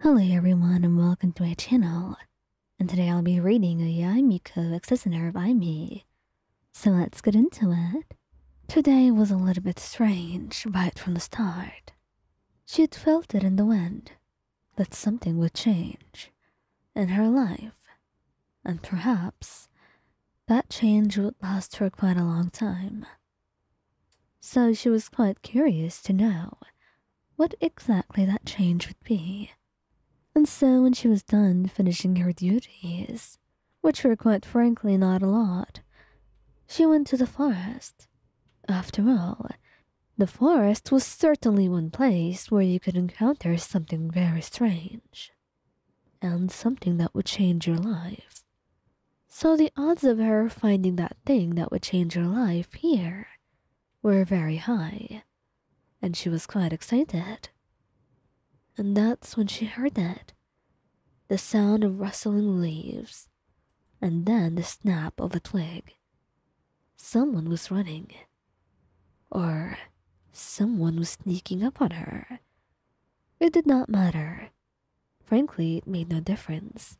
Hello everyone and welcome to my channel. And today I'll be reading a Miko Exener by me. So let's get into it. Today was a little bit strange right from the start. She had felt it in the wind that something would change in her life. And perhaps that change would last for quite a long time. So she was quite curious to know what exactly that change would be. And so when she was done finishing her duties, which were quite frankly not a lot, she went to the forest. After all, the forest was certainly one place where you could encounter something very strange, and something that would change your life. So the odds of her finding that thing that would change her life here were very high, and she was quite excited. And that's when she heard that, the sound of rustling leaves, and then the snap of a twig. Someone was running, or someone was sneaking up on her. It did not matter. Frankly, it made no difference.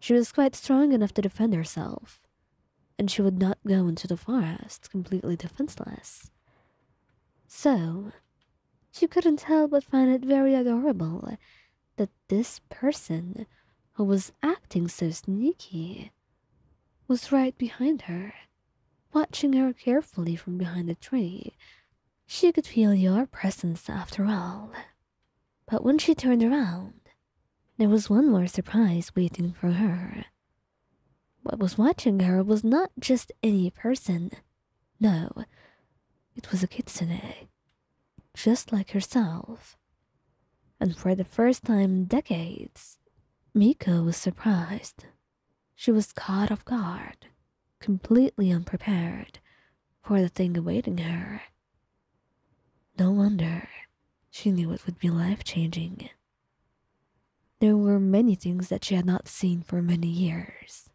She was quite strong enough to defend herself, and she would not go into the forest completely defenseless. So, she couldn't help but find it very adorable that this person who was acting so sneaky was right behind her, watching her carefully from behind a tree. She could feel your presence after all. But when she turned around, there was one more surprise waiting for her. What was watching her was not just any person. No, it was a kitsune, just like herself. And for the first time in decades, Miko was surprised. She was caught off guard, completely unprepared for the thing awaiting her. No wonder. She knew it would be life changing. There were many things that she had not seen for many years,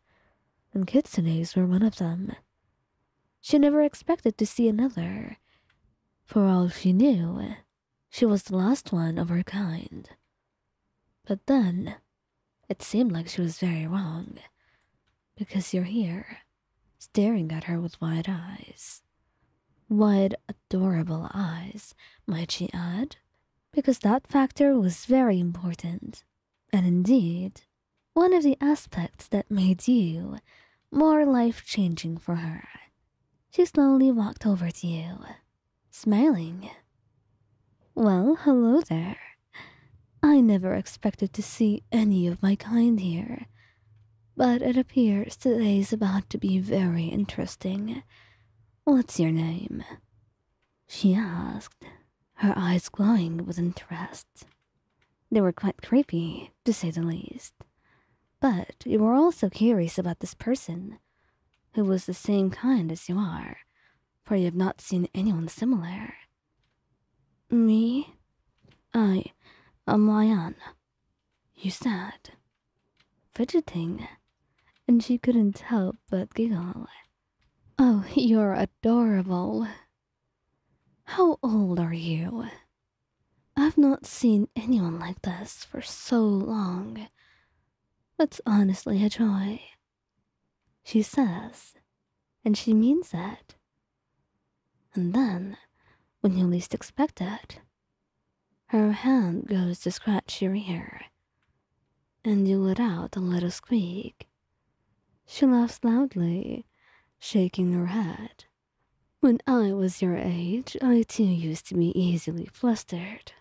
and kitsunes were one of them. She never expected to see another. For all she knew, she was the last one of her kind. But then, it seemed like she was very wrong because you're here, staring at her with wide eyes. Wide, adorable eyes, might she add, because that factor was very important, and indeed, one of the aspects that made you more life changing for her. She slowly walked over to you, smiling. Well, hello there. I never expected to see any of my kind here, but it appears today is about to be very interesting. What's your name? She asked, her eyes glowing with interest. They were quite creepy, to say the least. But you were also curious about this person, who was the same kind as you are, for you have not seen anyone similar. Me? I, a am you said, fidgeting, and she couldn't help but giggle. Oh, you're adorable. How old are you? I've not seen anyone like this for so long. That's honestly a joy she says, and she means it. And then, when you least expect it, her hand goes to scratch your ear, and you let out a little squeak. She laughs loudly, shaking her head. When I was your age, I too used to be easily flustered.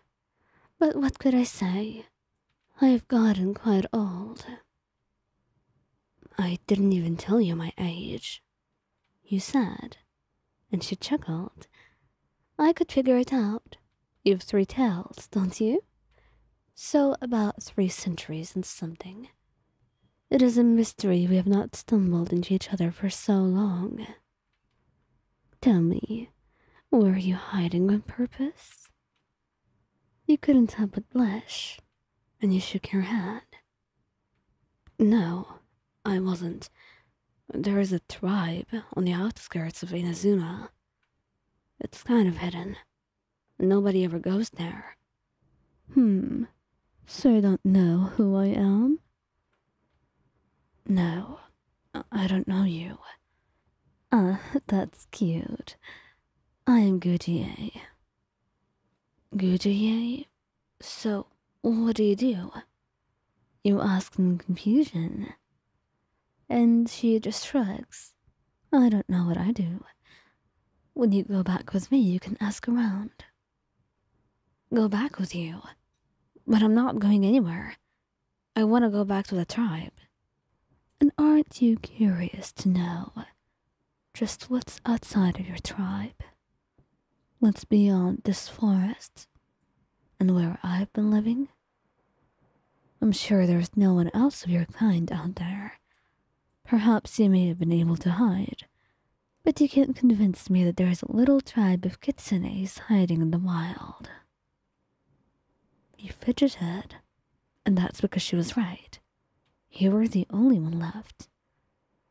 But what could I say? I have gotten quite old, I didn't even tell you my age, you said, and she chuckled. I could figure it out. You've three tails, don't you? So, about three centuries and something. It is a mystery we have not stumbled into each other for so long. Tell me, were you hiding on purpose? You couldn't help but blush, and you shook your head. No, I wasn't. There is a tribe on the outskirts of Inazuma. It's kind of hidden. Nobody ever goes there. Hmm. So you don't know who I am? No, I don't know you. Ah, that's cute. I'm Goutier. Goutier? So, what do you do? You ask in confusion. And she just shrugs. I don't know what I do. When you go back with me, you can ask around. Go back with you. But I'm not going anywhere. I want to go back to the tribe. And aren't you curious to know just what's outside of your tribe? What's beyond this forest? And where I've been living? I'm sure there's no one else of your kind out there. Perhaps you may have been able to hide, but you can't convince me that there is a little tribe of kitsunes hiding in the wild. He fidgeted, and that's because she was right. You were the only one left.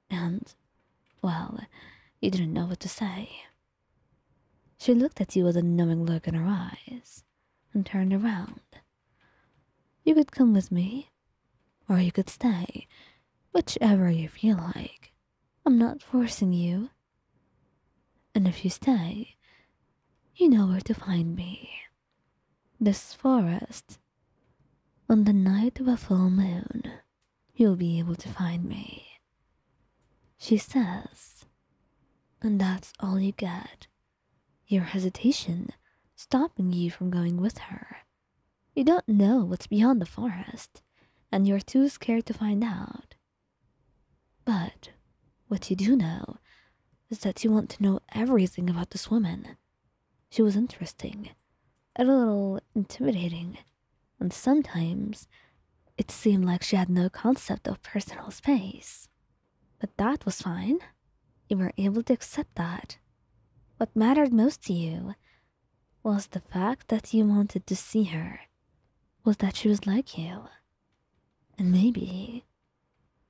And, well, you didn't know what to say. She looked at you with a knowing look in her eyes and turned around. You could come with me, or you could stay, whichever you feel like. I'm not forcing you. And if you stay, you know where to find me. This forest. On the night of a full moon, you'll be able to find me. She says, and that's all you get. Your hesitation stopping you from going with her. You don't know what's beyond the forest, and you're too scared to find out. But what you do know is that you want to know everything about this woman. She was interesting, and a little intimidating, and sometimes it seemed like she had no concept of personal space. But that was fine. You were able to accept that. What mattered most to you was the fact that you wanted to see her, was that she was like you. And maybe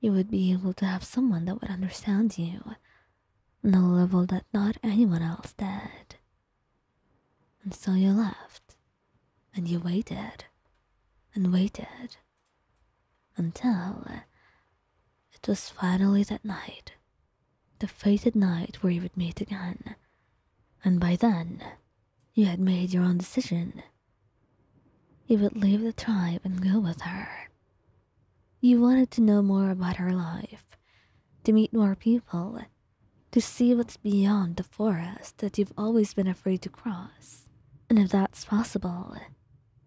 you would be able to have someone that would understand you on a level that not anyone else did. And so you left, and you waited, and waited, until it was finally that night, the fated night where you would meet again. And by then, you had made your own decision. You would leave the tribe and go with her. You wanted to know more about her life, to meet more people, to see what's beyond the forest that you've always been afraid to cross. And if that's possible,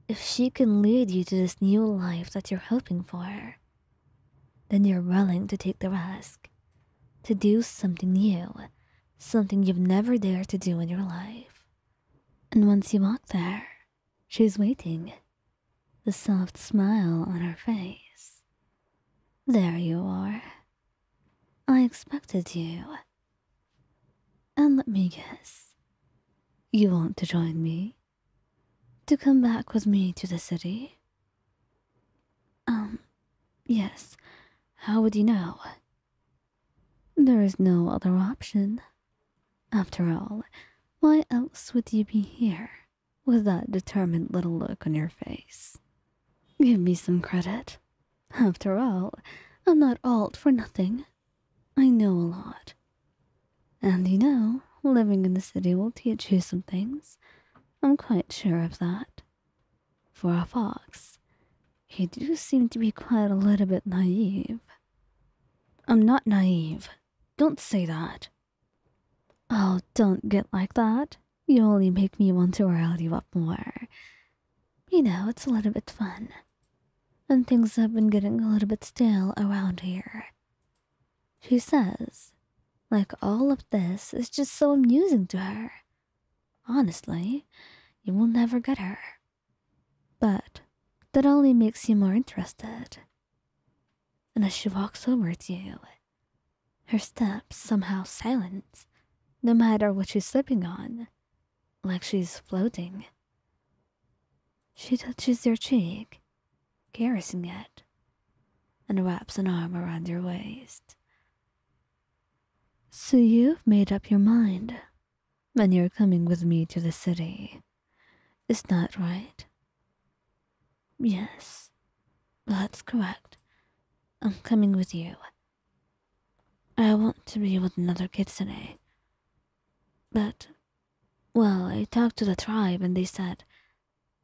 if she can lead you to this new life that you're hoping for, then you're willing to take the risk, to do something new something you've never dared to do in your life. And once you walk there, she's waiting, the soft smile on her face. There you are. I expected you. And let me guess, you want to join me? To come back with me to the city? Um, yes. How would you know? There is no other option. After all, why else would you be here with that determined little look on your face? Give me some credit. After all, I'm not alt for nothing. I know a lot. And you know, living in the city will teach you some things. I'm quite sure of that. For a fox, you do seem to be quite a little bit naive. I'm not naive. Don't say that. Oh, don't get like that. You only make me want to rile you up more. You know, it's a little bit fun. And things have been getting a little bit stale around here. She says, like all of this is just so amusing to her. Honestly, you will never get her. But that only makes you more interested. And as she walks over you, her steps somehow silent, no matter what she's slipping on, like she's floating. She touches your cheek, caressing it, and wraps an arm around your waist. So you've made up your mind, and you're coming with me to the city. Is that right? Yes, that's correct. I'm coming with you. I want to be with another kitsune. But, well, I talked to the tribe and they said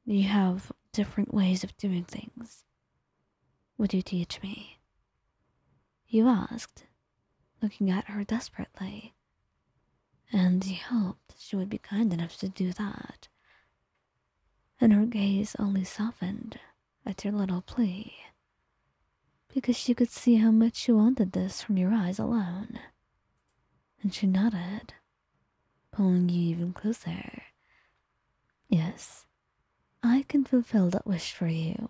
you have different ways of doing things. Would you teach me? You asked, looking at her desperately. And he hoped she would be kind enough to do that. And her gaze only softened at your little plea. Because she could see how much you wanted this from your eyes alone. And she nodded pulling you even closer. Yes, I can fulfill that wish for you,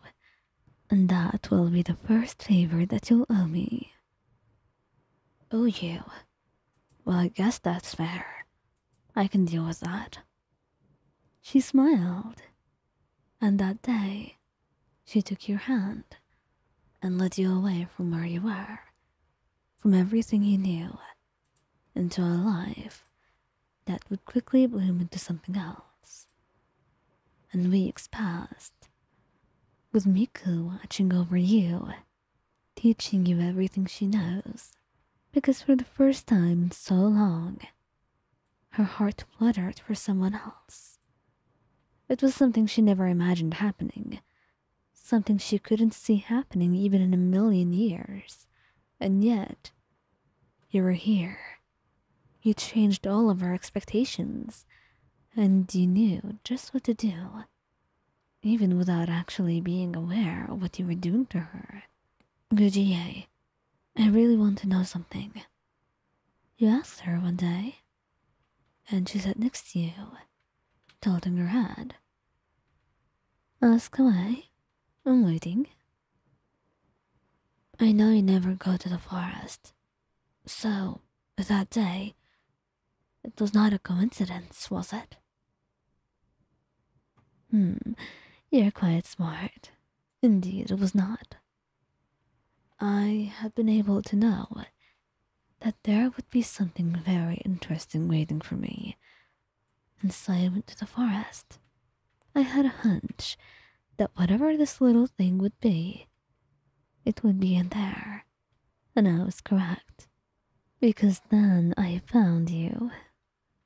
and that will be the first favor that you'll owe me. Oh, you? Well, I guess that's fair. I can deal with that. She smiled, and that day she took your hand and led you away from where you were, from everything you knew into a life that would quickly bloom into something else. And weeks passed, with Miku watching over you, teaching you everything she knows, because for the first time in so long, her heart fluttered for someone else. It was something she never imagined happening Something she couldn't see happening even in a million years. And yet, you were here. You changed all of her expectations. And you knew just what to do, even without actually being aware of what you were doing to her. Gujie, I really want to know something. You asked her one day, and she sat next to you, tilting her head Ask away. I'm waiting. I know you never go to the forest. So, that day, it was not a coincidence, was it? Hmm, you're quite smart. Indeed, it was not. I have been able to know that there would be something very interesting waiting for me, and so I went to the forest. I had a hunch that whatever this little thing would be, it would be in there, and I was correct, because then I found you,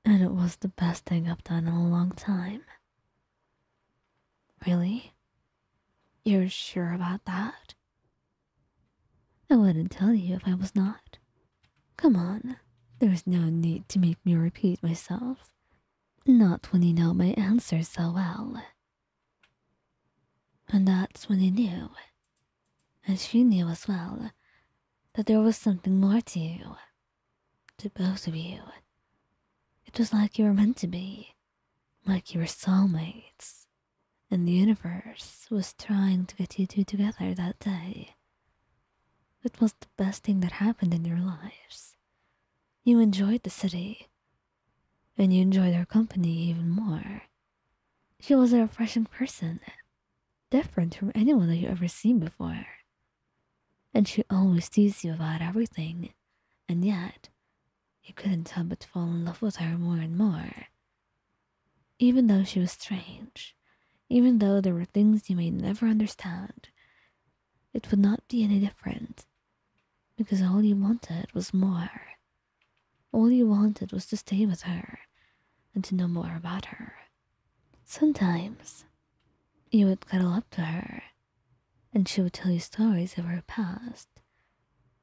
and it was the best thing I've done in a long time. Really? You're sure about that? I wouldn't tell you if I was not. Come on, there's no need to make me repeat myself. Not when you know my answer so well. And that's when he knew, and she knew as well, that there was something more to you, to both of you. It was like you were meant to be, like you were soulmates and the universe was trying to get you two together that day. It was the best thing that happened in your lives. You enjoyed the city, and you enjoyed her company even more. She was a refreshing person, different from anyone that you ever seen before. And she always teased you about everything, and yet you couldn't help but fall in love with her more and more. Even though she was strange, even though there were things you may never understand, it would not be any different because all you wanted was more. All you wanted was to stay with her and to know more about her. Sometimes you would cuddle up to her and she would tell you stories of her past,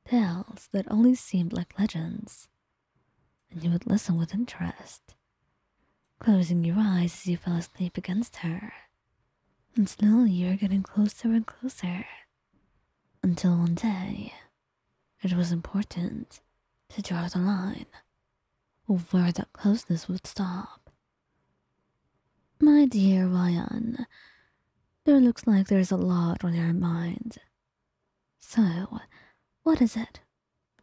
tales that only seemed like legends and you would listen with interest, closing your eyes as you fell asleep against her. And slowly you were getting closer and closer. Until one day, it was important to draw the line where that closeness would stop. My dear Ryan, there looks like there's a lot on your mind. So, what is it?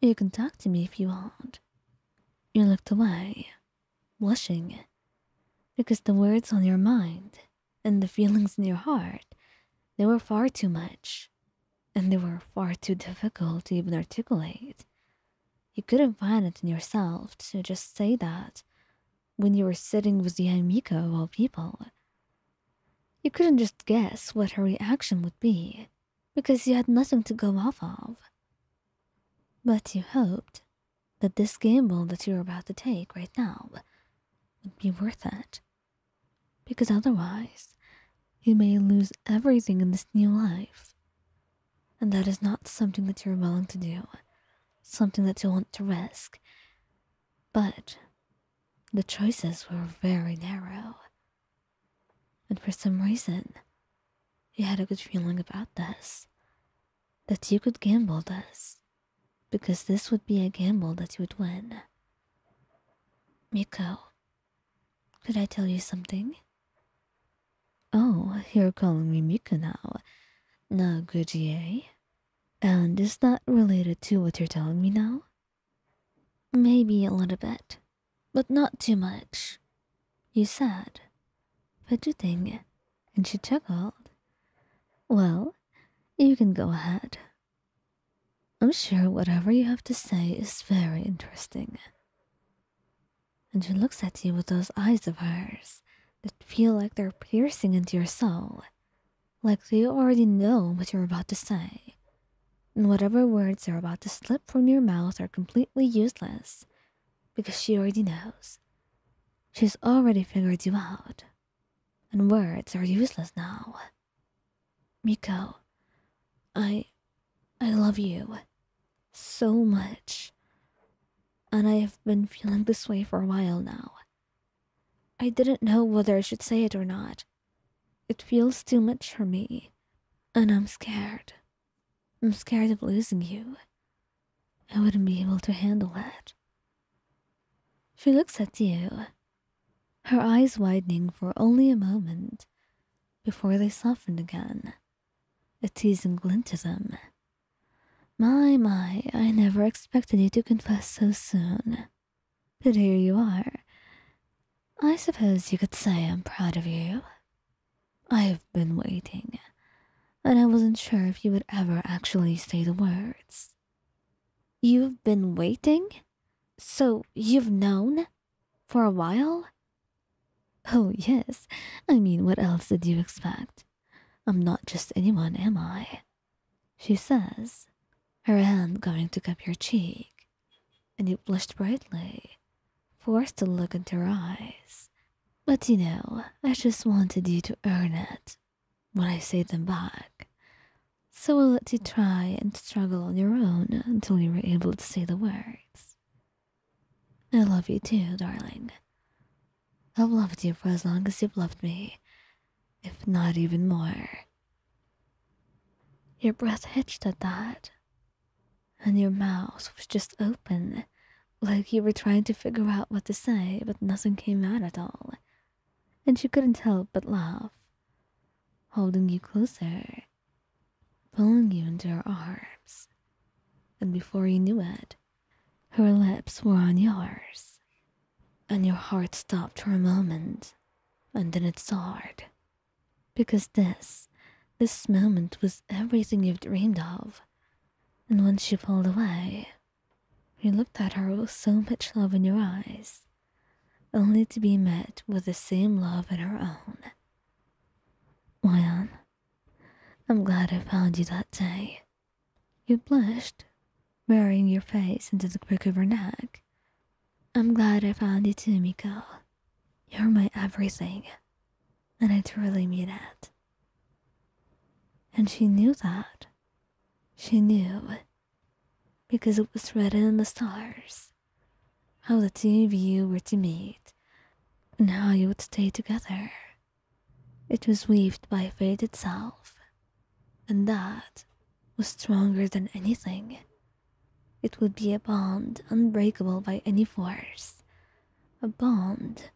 You can talk to me if you want. You looked away, blushing, because the words on your mind and the feelings in your heart, they were far too much, and they were far too difficult to even articulate. You couldn't find it in yourself to just say that when you were sitting with the Amico of all people. You couldn't just guess what her reaction would be, because you had nothing to go off of. But you hoped that this gamble that you're about to take right now would be worth it, because otherwise you may lose everything in this new life. And that is not something that you're willing to do, something that you want to risk, but the choices were very narrow. And for some reason, you had a good feeling about this that you could gamble this, because this would be a gamble that you would win. Miko, could I tell you something? Oh, you're calling me Miko now. No good, eh? And is that related to what you're telling me now? Maybe a little bit, but not too much. You said, but you think, and she chuckled. Well, you can go ahead. I'm sure whatever you have to say is very interesting. And she looks at you with those eyes of hers that feel like they're piercing into your soul like they already know what you're about to say. And whatever words are about to slip from your mouth are completely useless because she already knows. She's already figured you out. And words are useless now. Miko, I. I love you. So much. And I have been feeling this way for a while now. I didn't know whether I should say it or not. It feels too much for me, and I'm scared. I'm scared of losing you. I wouldn't be able to handle that. She looks at you, her eyes widening for only a moment before they softened again, a teasing glint to them. My, my, I never expected you to confess so soon. But here you are. I suppose you could say I'm proud of you. I've been waiting, and I wasn't sure if you would ever actually say the words. You've been waiting? So you've known? For a while? Oh, yes. I mean, what else did you expect? I'm not just anyone, am I? She says, her hand going to cup your cheek. And you blushed brightly, forced to look into her eyes. But you know, I just wanted you to earn it when I say them back. So i let you try and struggle on your own until you were able to say the words. I love you too, darling. I've loved you for as long as you've loved me, if not even more. Your breath hitched at that, and your mouth was just open, like you were trying to figure out what to say, but nothing came out at all. And she couldn't help but laugh, holding you closer, pulling you into her arms. And before you knew it, her lips were on yours, and your heart stopped for a moment, and then it soared. Because this, this moment was everything you would dreamed of. And when she pulled away, you looked at her with so much love in your eyes, only to be met with the same love in her own. Wyan, I'm glad I found you that day. You blushed, burying your face into the crook of her neck. I'm glad I found you too, Miko. You're my everything, and I truly mean that. And she knew that. She knew, because it was written in the stars, how the two of you were to meet and how you would stay together. It was weaved by fate itself, and that was stronger than anything. It would be a bond unbreakable by any force, a bond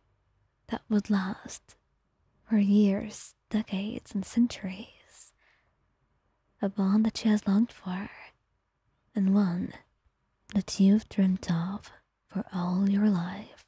that would last for years, decades, and centuries, a bond that she has longed for, and one that you've dreamt of for all your life.